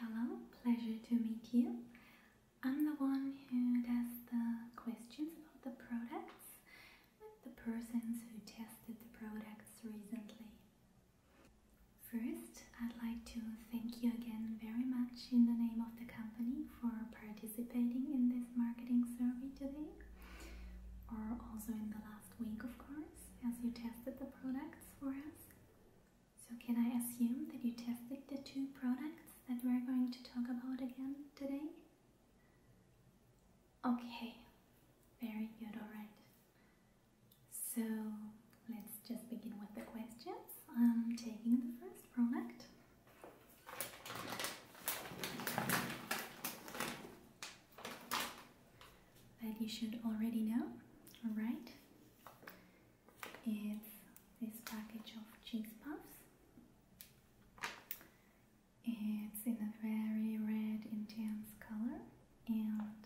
Hello, pleasure to meet you. I'm the one who does the questions about the products with the persons who tested the products recently. First, I'd like to thank you again very much in the name of the company for participating in this marketing survey today, or also in the last week, of course, as you tested the products for us. So can I assume that you tested the two products that we're going to talk about again today? Okay, very good, alright. So let's just begin with the questions. I'm taking the first product that you should already know, alright? It's this package of cheese puffs. It's in a very red intense color and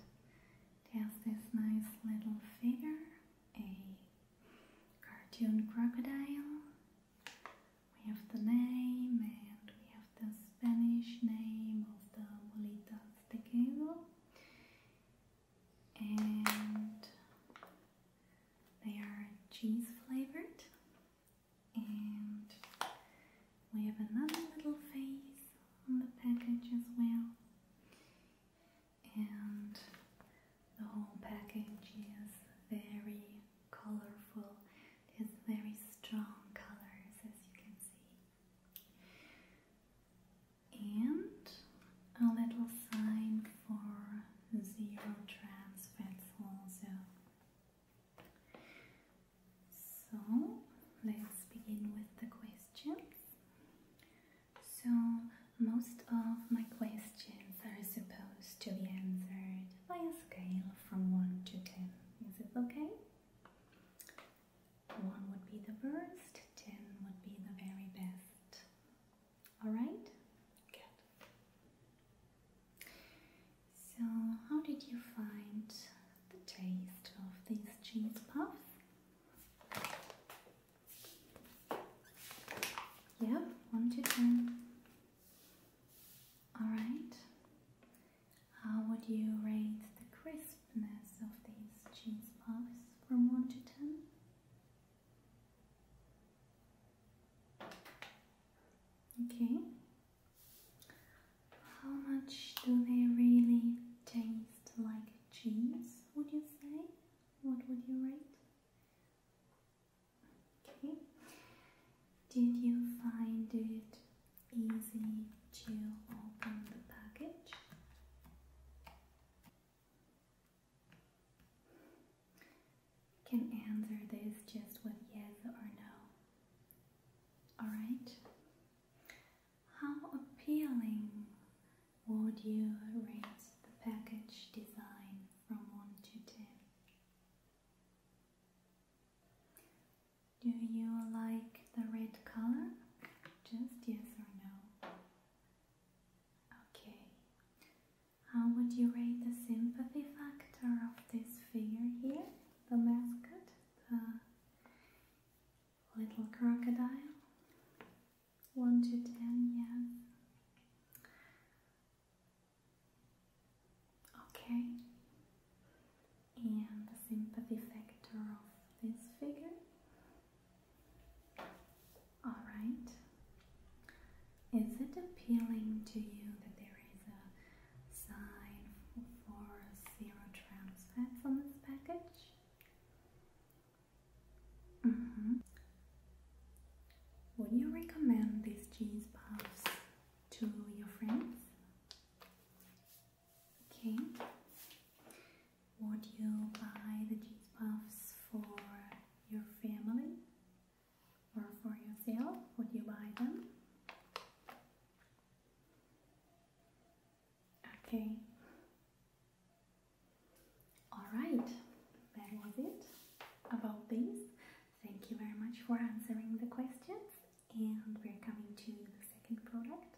there's this nice little figure, a cartoon crocodile. We have the name and we have the Spanish name of the bolitas de queso and they are cheese flavored and we have another little face on the package as well and the whole package is very colorful it has very strong colors as you can see and a little sign for zero trans fats also. So let's begin with the questions. So most of my questions are supposed to be answered by a scale from 1 to 10. Is it okay? One would be the worst, ten would be the very best. All right? Good. So, how did you find the taste of these cheese puffs? Yep, one to All right. How would you rate the crispness of these cheese puffs from 1 to 10? Okay. How much do they really taste like cheese, would you say? What would you rate? Okay. Did you find it easy to open the package? Can answer this just with yes or no. Alright? How appealing would you rate the package design from 1 to 10? Do you like the red color? Just yes or no. Okay. How would you rate the sympathy factor of this figure here? The mascot? The little crocodile? 1 to 10, yes. Okay, and the sympathy factor of this figure. Alright, is it appealing to you that there is a sign for zero trans fats on this package? Mm -hmm. Would you recommend these cheese puffs to your friends? Okay. Would you buy the cheese puffs for your family or for yourself? Would you buy them? Okay. Alright, that was it about these. Thank you very much for answering the questions and we're coming to the second product.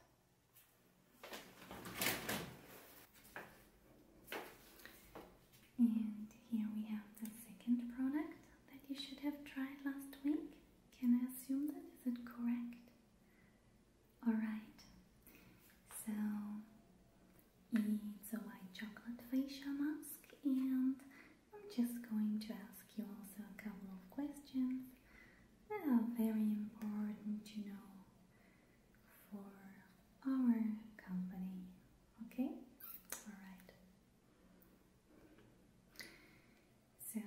And here we have the second product that you should have tried last week. Can I assume that? Is it correct? Alright. So it's a white chocolate facial mask and I'm just going to ask you also a couple of questions that are very important to know for our company, okay? Alright. So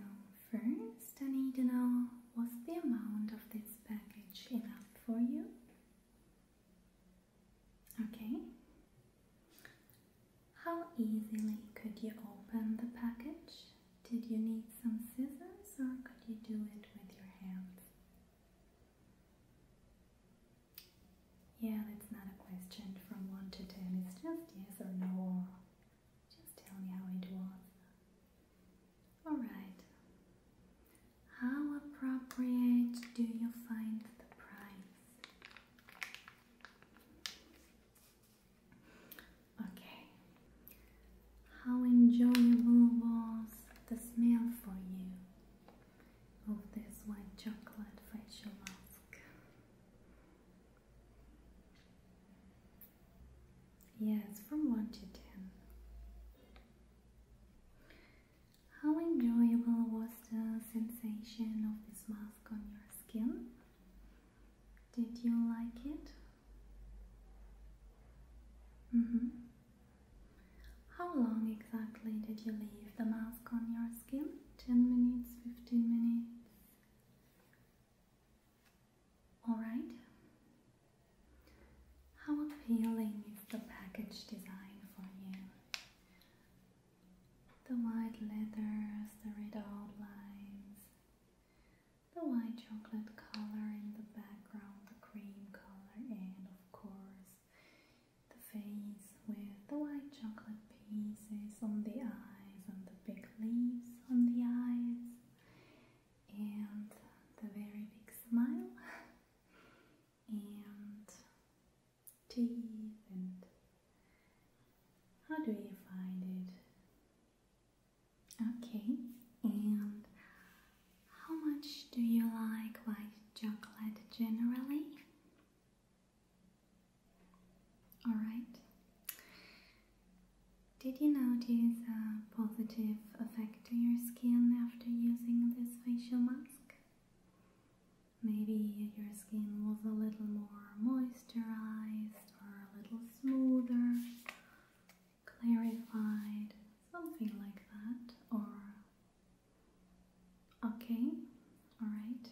first I need to know what's the amount of this package enough for you? Okay. How easily could you open the package? Did you need some scissors or could you do it with your hands? Yeah, that's not a question from 1 to 10. It's just yes or no. Just tell me how it was. Alright, how appropriate do you find the price? Okay. How enjoyable was the smell for you of this white chocolate facial mask? Yes, from 1 to 10. How enjoyable was the sensation of this mask on your skin? Did you like it? Mm-hmm. How long exactly did you leave the mask on your skin? 10 minutes, 15 minutes? Alright. How appealing is the package design for you? The white letters, the red outlines, the white chocolate color in the background, the cream color, and of course the face with the white chocolate pieces on the eyes, on the big leaves on the eyes, and the very big smile. and teeth and how do you find it? Okay, and how much do you like white chocolate generally? Alright, did you notice a positive effect to your skin after using this facial mask? Maybe your skin was a little more moisturized or a little smoother, clarified, something like that, or okay, alright.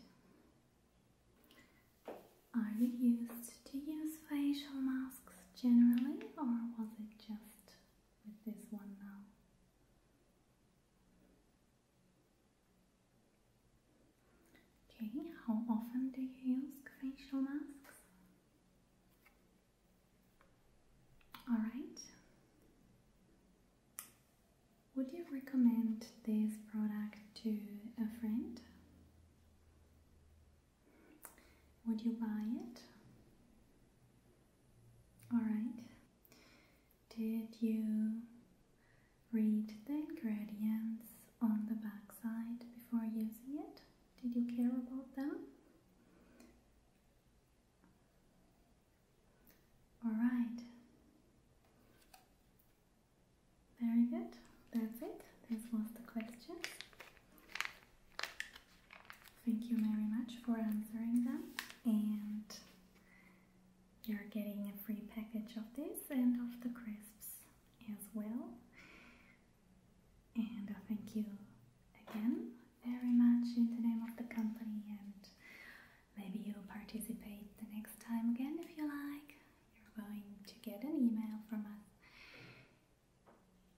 Are you used to use facial masks generally, or was it just with this one now. Okay, how often do you use facial masks? Alright. Would you recommend this product to a friend? Would you buy it? Alright. Did you read the ingredients on the backside before using it? Did you care about them? Alright. Very good. That's it. That's one of the questions. Thank you very much for answering them and you're getting a free package of this and of the crisps as well. And I thank you again very much in the name of the company and maybe you will participate the next time again if you like. You're going to get an email from us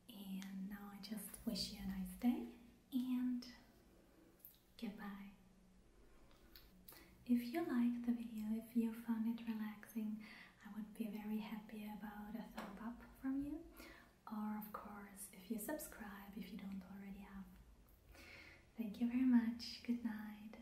and now I just wish you a nice day and goodbye. If you liked the video, if you found it relaxing, I would be very happy about a thumb up from you. Or of course, if you subscribe, if you don't already have. Thank you very much. Good night.